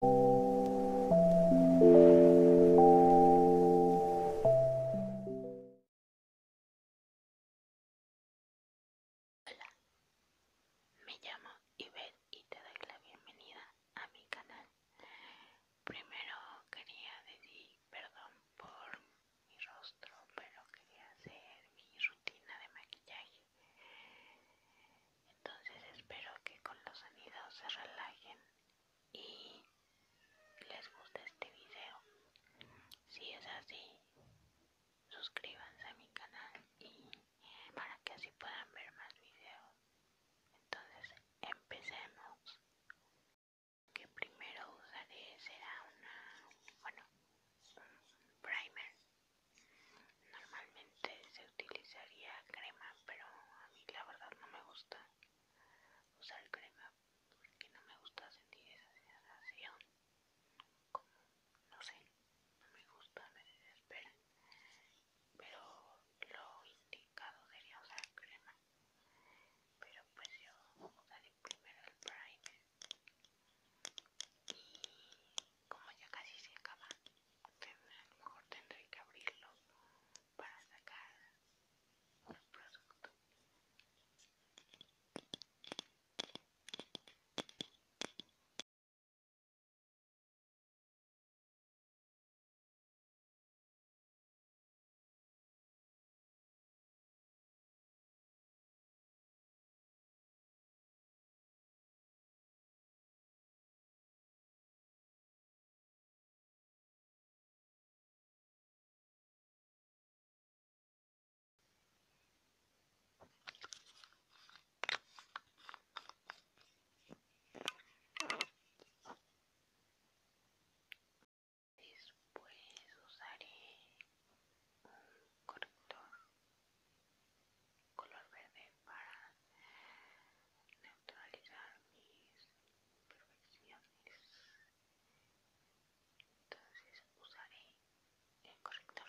Hola, me llamo Ibel y te doy la bienvenida a mi canal. Primero quería decir perdón por mi rostro, pero quería hacer mi rutina de maquillaje entonces espero que con los sonidos se relajen y les guste este video. Si es así, suscríbanse a mi canal y para que así puedan ver más videos. Entonces empecemos. Lo que primero usaré será una, bueno, primer Normalmente se utilizaría crema, pero a mí la verdad no me gusta usar crema porque no me gusta sentir esa sensación. Como, no sé, no me gusta, me desespera. Pero lo indicado sería usar crema. Pero pues yo usaré primero el primer. Y como ya casi se acaba, a lo mejor tendré que abrirlo para sacar el producto. Después usaré un corrector color verde para neutralizar mis imperfecciones entonces usaré el corrector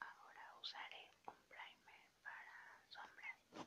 Ahora usaré un primer para sombras.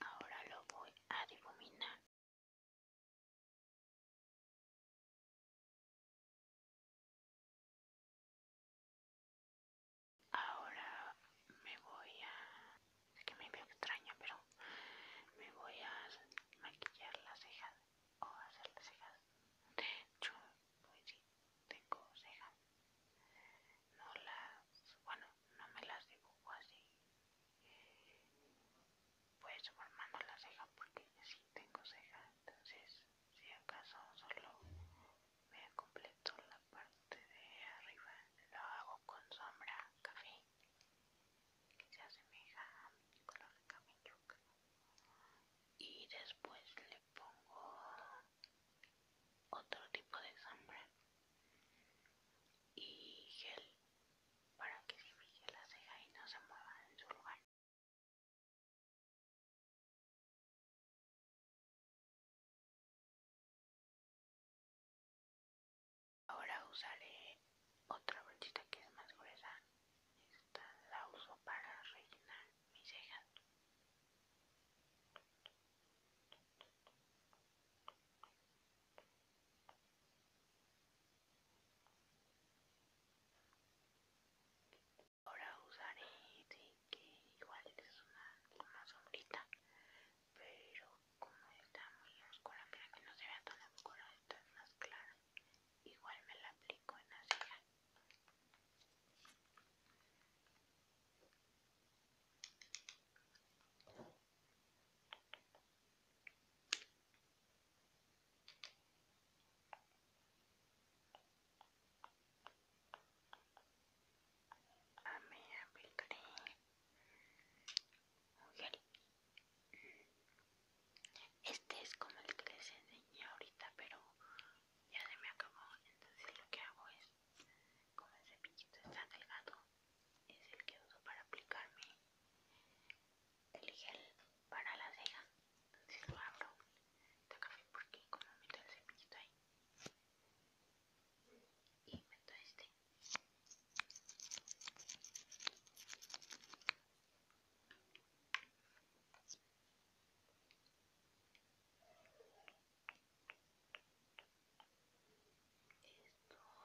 Ahora lo voy a difuminar. Ahora me voy a es que me veo extraña, pero me voy a maquillar las cejas o hacer las cejas. De hecho, pues sí, tengo cejas. No las, bueno, no me las dibujo así. Pues formando las cejas porque sí tengo cejas. Entonces, si acaso solo me completo la parte de arriba, lo hago con sombra café que se asemeja a mi color de cabello y después le pongo otro tipo de sombra y gel para que se fije la ceja y no se mueva en su lugar Ahora usaré otra brochita que es más gruesa. Esta la uso para rellenar mis cejas. Ahora usaré, sí, este, que igual es una, una sombrita pero como está muy oscura para que no se vea tan oscura está es más claro. igual me la aplico en la a mí este es como el que les enseñé ahorita, pero ya se me acabó. Entonces lo que hago es, como el cepillito está delgado, es el que uso para aplicarme el gel para la ceja. Entonces lo abro. Está café porque como meto el cepillito ahí y meto este esto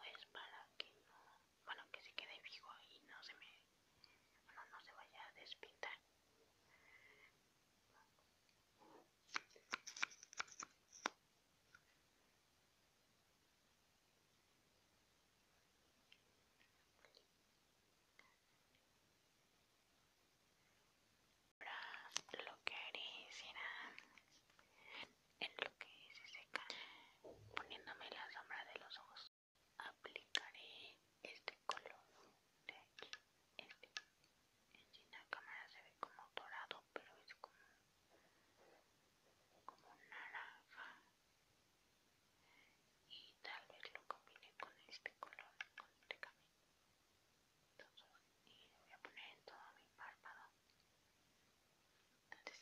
es para que no bueno que se quede vivo y no se me bueno no se vaya a despintar Ahora lo que haré será en lo que se seca poniéndome la sombra de los ojos aplicaré este color de aquí este en la cámara se ve como dorado pero es como como naranja y tal vez lo combine con este color y lo voy a poner en todo mi párpado entonces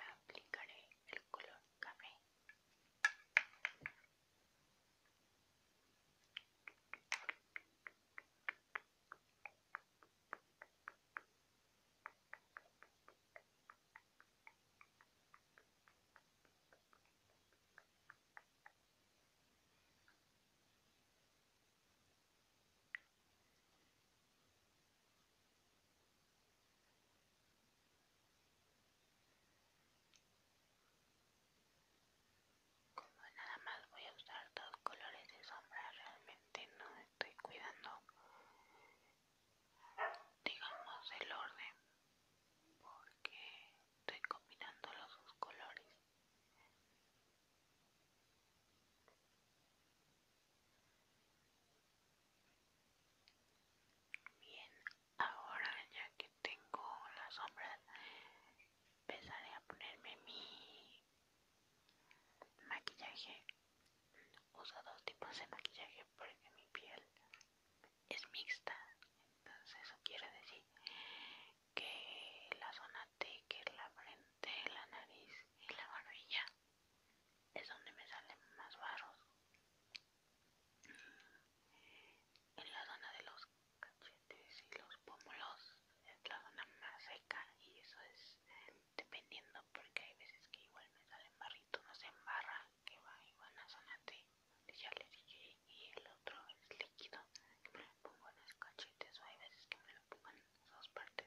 aplicaré el color café como nada más voy a usar dos colores de sombra, realmente no estoy cuidando, digamos, el orden, porque estoy combinando los dos colores. Bien, ahora ya que tengo Las sombras empezaré a ponerme mi maquillaje. Uso dos tipos de maquillaje porque mi piel es mixta, entonces eso quiere decir que la zona T, que es la frente, la nariz y la barbilla es donde me salen más barros en la zona de los cachetes y los pómulos es la zona más seca y eso es dependiendo porque hay veces que igual me salen barrito, no se embarra, que va igual a la zona ya le y el otro es líquido, que me lo pongo en los cachetes o hay veces que me lo pongo en esas dos partes.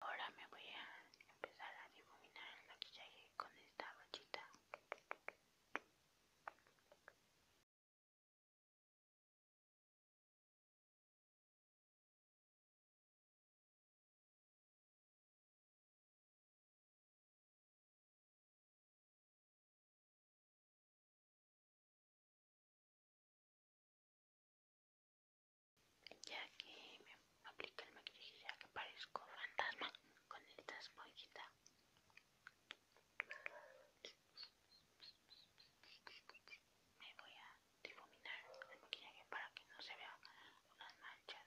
Ahora me voy a empezar a difuminar el maquillaje con esta brochita. Ya que me aplico el maquillaje, ya que parezco fantasma con esta esponjita. Me voy a difuminar el maquillaje para que no se vean unas manchas.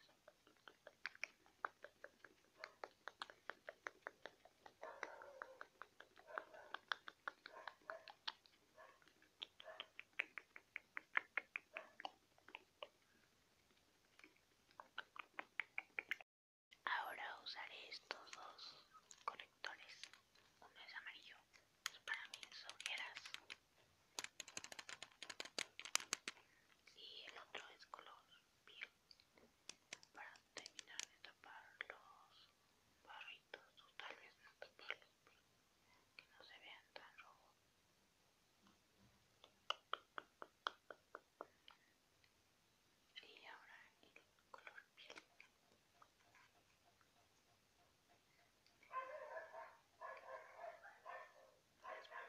Ahora usaré estos dos conectores. Uno es amarillo, para mis ojeras. Y el otro es color piel para terminar de tapar los barritos o tal vez no taparlos pero que no se vean tan rojos y ahora el color piel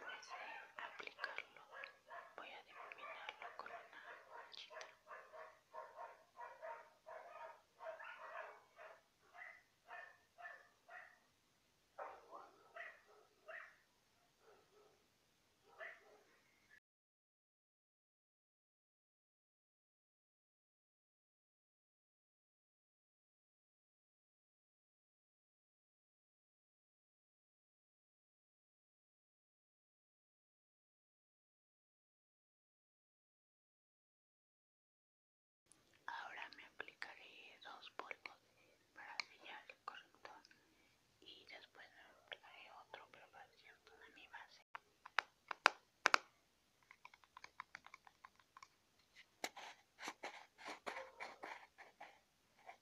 después de aplicarlo voy a difuminarlo con una hojita. Ahora me aplicaré dos polvos para sellar el corrector y después me aplicaré otro pero para mi base.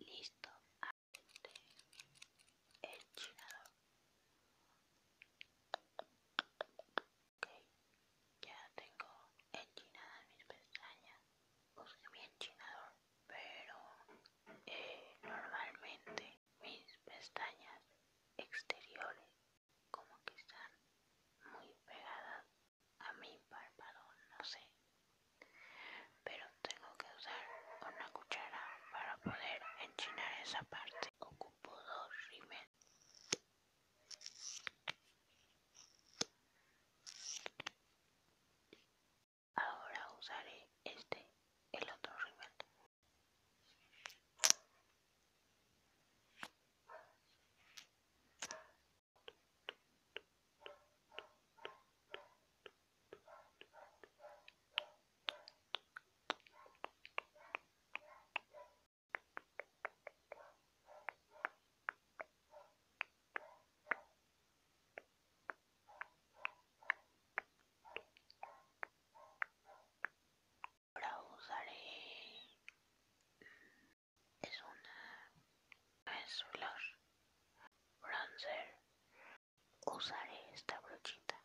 Listo, el chinador. Ok, ya tengo enchinada mis pestañas. Usé mi enchinador pero eh, normalmente mis pestañas exteriores como que están muy pegadas a mi párpado, no sé, pero tengo que usar una cuchara para poder enchinar esa parte. Ocupo dos rímel. Ahora usaré este, el otro rival. Ahora usaré es una es blush bronzer. Usaré esta brochita.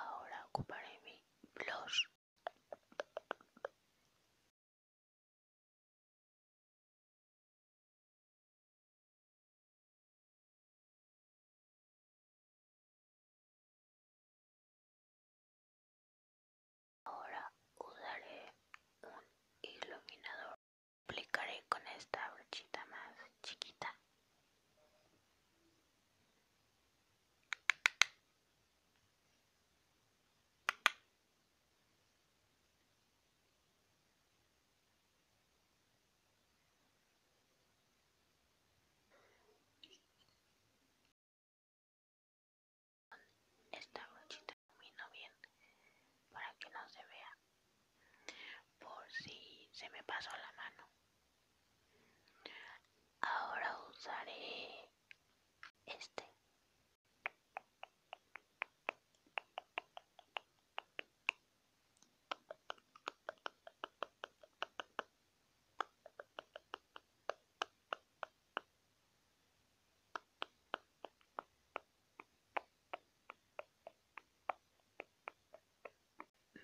Ahora ocuparé mi blush. Ahora usaré un iluminador. Aplicaré con esta brochita más chiquita. Esta brochita camino bien para que no se vea por si se me pasó la mano. Ahora usaré este.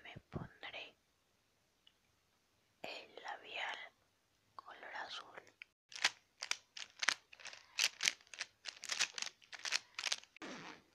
Me pondré el labial color azul.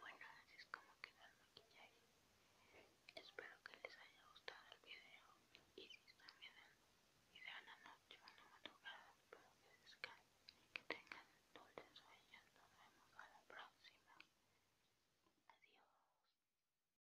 Bueno, así es como queda el maquillaje. Espero que les haya gustado el video. Y si están viendo de la noche o la madrugada, espero que descansen y que tengan dulces sueños. Nos vemos a la próxima. Adiós.